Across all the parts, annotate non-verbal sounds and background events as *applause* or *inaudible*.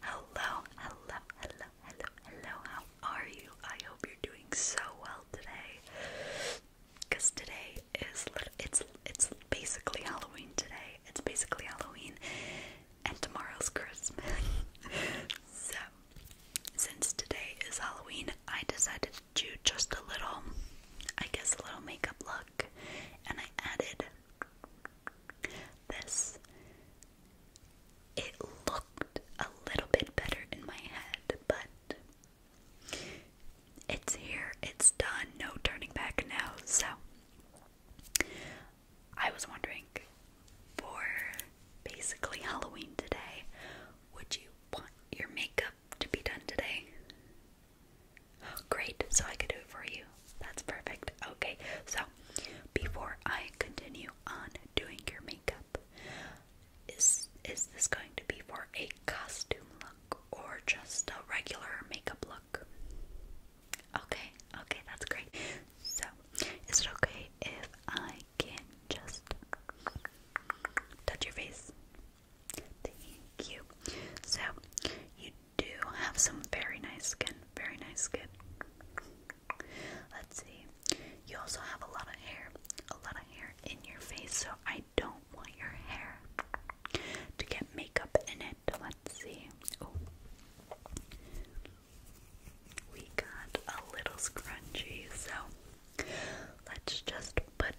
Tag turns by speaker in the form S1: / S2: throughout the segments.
S1: Hello, hello, hello, hello, hello. How are you? I hope you're doing so well today. today is it's it's basically Halloween today. It's basically Halloween, and tomorrow's Christmas. *laughs* so, since today is Halloween, I decided to do just a little, I guess, a little makeup look, and I added this it looked a little bit better in my head, but it's here, it's done, no turning back now. So I was wondering for basically Halloween today, would you want your makeup to be done today? great, so I can do it for you. That's perfect. Okay, so before I continue on doing your makeup, is is this going to be for a costume look or just a regular makeup look? Okay, okay, that's great. So, is it okay if I can just touch your face? Thank you. So, you do have some very nice skin. Very nice skin. Let's see. You also have a lot of hair. A lot of hair in your face, so I don't want your hair to get makeup in it. Let's see. Oh. We got a little scrunchy, so let's just put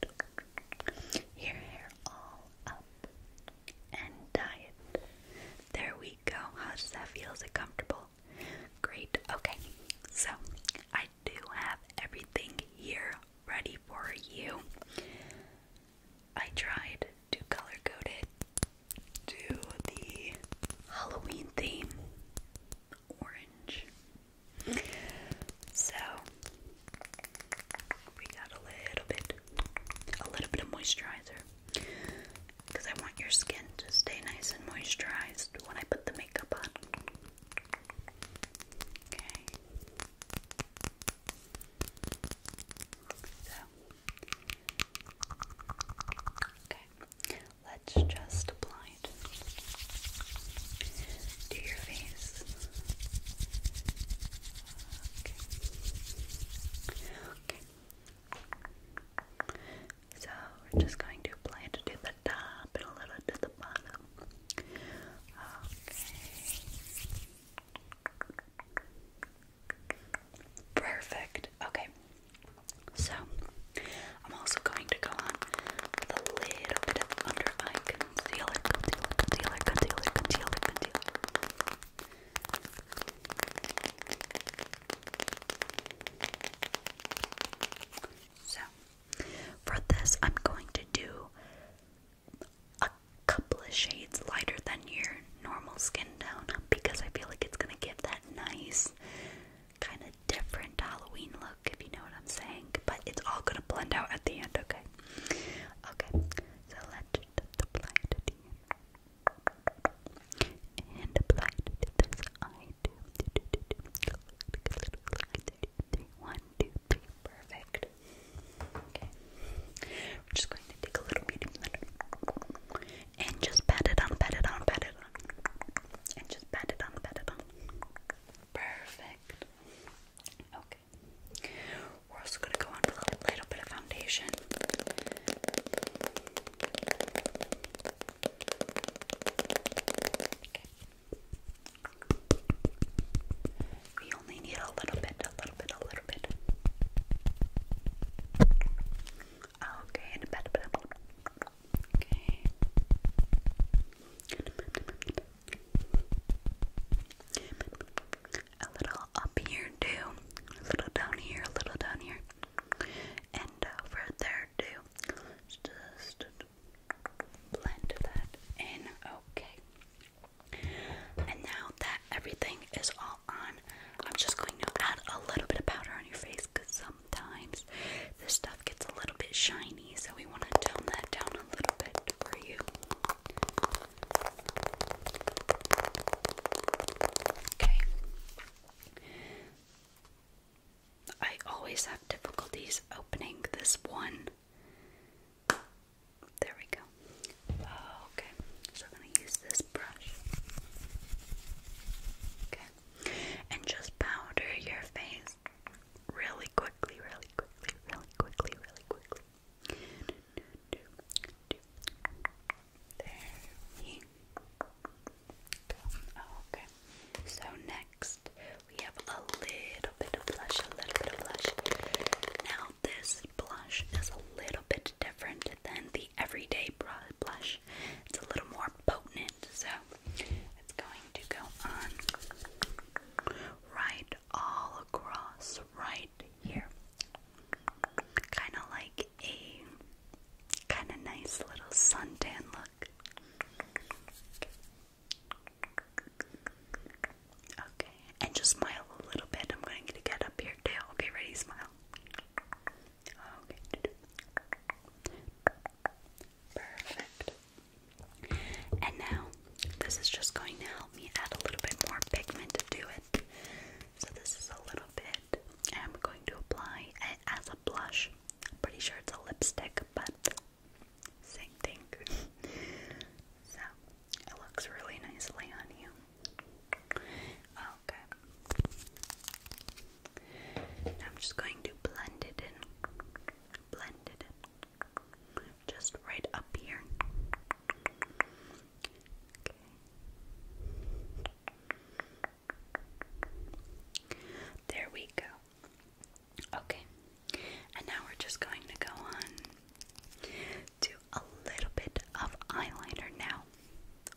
S1: your hair all up and diet. There we go. How does that feel? Is it comfortable? Great. Okay, so I do have everything here ready for you. I tried to color code it to the Halloween theme orange. So we got a little bit, a little bit of moisturizer because I want your skin to stay nice and moisturized when I put the makeup on. Okay. So. Okay. Let's just apply it to your face. Okay. okay. So we're just going to apply to the top and a little to the bottom. Okay. Perfect. Okay. So I'm also going to go on with a little bit of under eye so, for this, I'm going to do a couple of shades lighter than your normal skin tone because I feel like it's going to give that nice, kind of different Halloween look look, if you know what I'm saying. But it's all gonna blend out at the end, okay? Okay, so let's apply it to the end. And apply it to this eye too. perfect. Okay, we're just going to take a little bit and just pat it on, pat it on, pat it on, and just pat it on, pat it on. Perfect. Okay. We're also going to go on a little bit of foundation. We only need a little bit, a little bit, a little bit. Okay, and a bit, a bit, bit. Okay. A little up here too, a little down here, a little down here, and over there too. Just blend that in, okay. now that everything is all on, I'm just going to add a little bit of powder on your face because sometimes this stuff gets a little bit shiny so we want to tone that down a little bit for you. Okay. I always have difficulties opening this one. There we go. Okay, so I'm going to use this brush. Okay, and just powder your face really quickly, really quickly, really quickly, really quickly. you oh, okay. So next we have a little bit of blush, a little bit of blush. Now this blush is a little bit different than the everyday blush. It's a little more potent, so it's going to go on right all across right here. Kind of like a kind of nice little suntan look. Okay, and just smile a little bit. I'm going to get up your tail. Okay, ready? Smile. Perfect. And now, this is just going to help me add a little bit more pigment to do it. So this is a little bit, I'm going to apply it as a blush. pretty sure it's a lipstick, but same thing. *laughs* so, it looks really nicely on you. Okay. I'm just going to blend it in, blend it in, just right up here. There we go. Okay. And now we're just going to go on to a little bit of eyeliner now.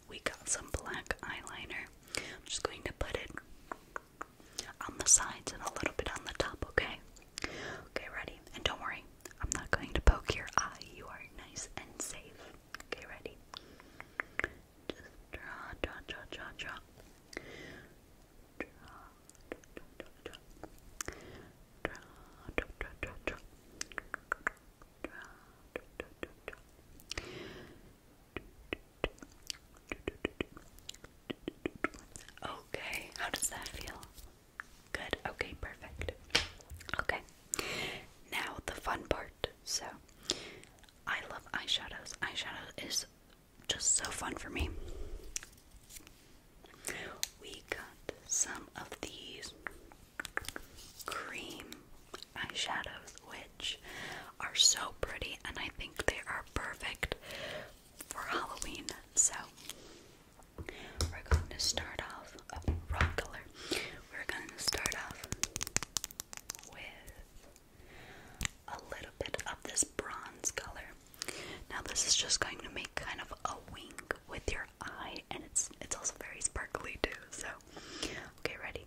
S1: We got some black eyeliner. I'm just going to put it on the sides and a little bit on the top, okay? Okay, ready? And don't worry, I'm not going to poke your eye. You are nice and safe. Okay, ready? Just draw, draw, draw, draw, draw. Draw, draw, draw, draw. Draw, draw, draw, draw, draw. Draw, draw, draw, draw. Draw, draw, draw, draw. Okay, how does that feel? Good, okay, perfect. Okay, now the fun part. So, I love eyeshadows. Eyeshadow is just so fun for me. We got some of these cream eyeshadows, which are so pretty, and I think they are perfect for Halloween. So, we're going to start off, oh, wrong we're going to start off with a little bit of this bronze color. Now, this is just going to make kind of a wing with your eye, and it's it's also very sparkly too. So, okay, ready?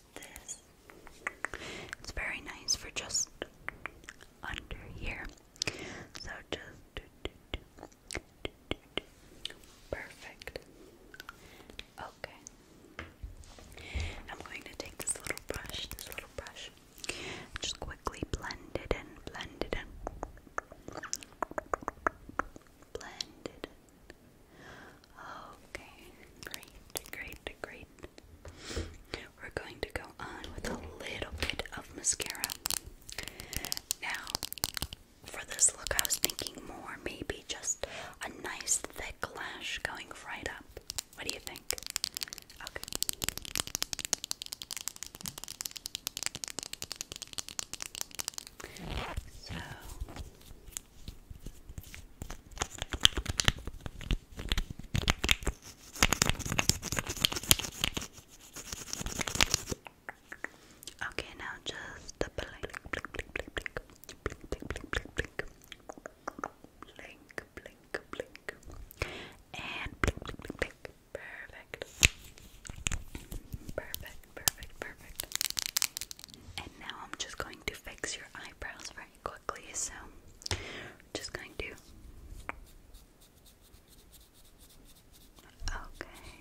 S1: this. It's very nice for just under here. So just perfect. Okay. I'm going to take this little brush, this little brush, just quickly blend it in, blend it in. Blend it, Okay, great, great, great. We're going to go on with a little bit of mascara. Now, for this look, I was thinking more maybe just a nice thick lash going right up. What do you think? Okay. So, Okay, now just blink, blink, blink, blink, blink, blink, blink, blink, blink, blink, blink, and Perfect. Perfect, perfect, perfect. And now I'm just going to fix your eyebrows very quickly. So, just going to. Okay.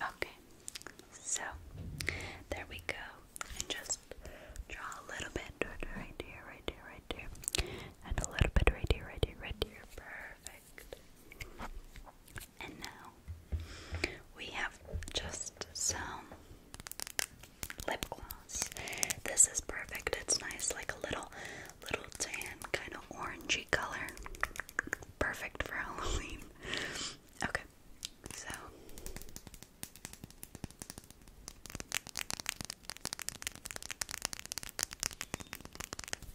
S1: Okay, so there we go. And just draw a little bit right here, right here, right here, and a little bit right here, right here, right here. Perfect. And now we have just some lip gloss. This is perfect. It's nice, like a little, little tan, kind of orangey color perfect for Halloween. *laughs* Okay, so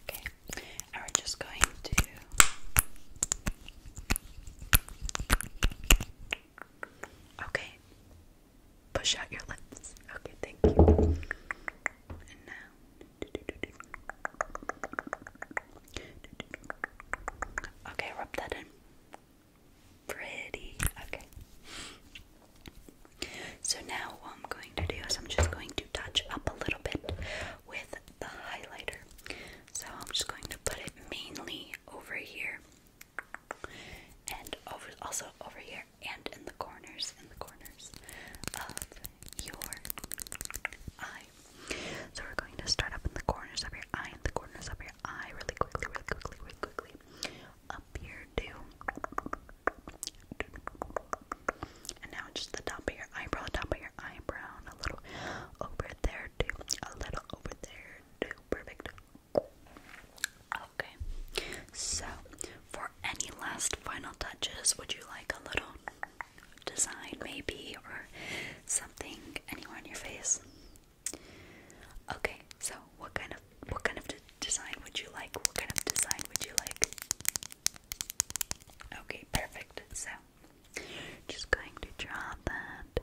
S1: okay, and we're just going to okay push out your lips. Okay, thank you. And now. Okay, rub that in. Pretty. Okay. So now what I'm going to do is I'm just going to touch up a little bit with the highlighter. So I'm just going to put it mainly over here and over also over here and in the corners, in the corners of your eye. So we're going to start up in the corners of your eye, in the corners of your eye, really quickly, really quickly, really quickly. Up here too. And now just the top of your eyebrow, the top of your eyebrow, a little over there too, a little over there too. Perfect. Okay. So for any last final touches, would you like a little design maybe or something anywhere on your face? Okay, so what kind of what kind of design would you like? What kind of design would you like? Okay, perfect. So just going to draw that.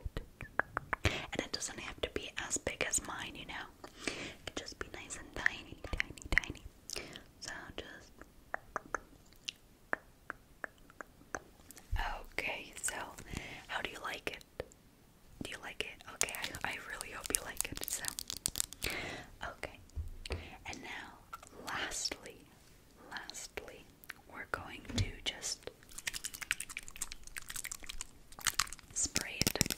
S1: And it doesn't have to be as big as mine, you know. It can just be nice and tiny, tiny, tiny, so just Okay, so how do you like it? Do you like it? Okay, I, I really hope you like it. So Okay. And now lastly, lastly, we're going to just spray it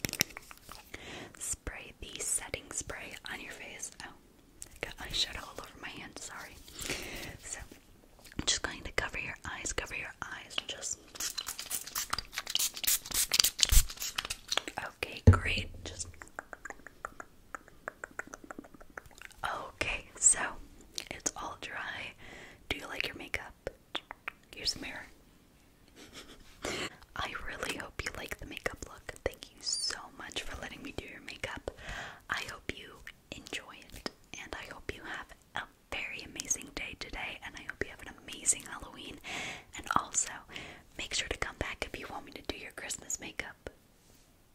S1: Spray the setting spray on your face. Oh, I got eyeshadow all over my hand, sorry. So, I'm just going to cover your eyes, cover your eyes, just. Okay, great. Just. Okay, so it's all dry. Do you like your makeup? Here's a mirror. I really hope you like the makeup look. Thank you so much for letting me do your makeup. I hope you enjoy it, and I hope you have a very amazing day today, and I hope you have an amazing Halloween. And also, make sure to come back if you want me to do your Christmas makeup.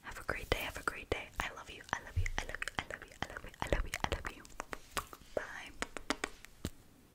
S1: Have a great day, have a great day. I love you, I love you, I love you, I love you, I love you, I love you, I love you. Bye.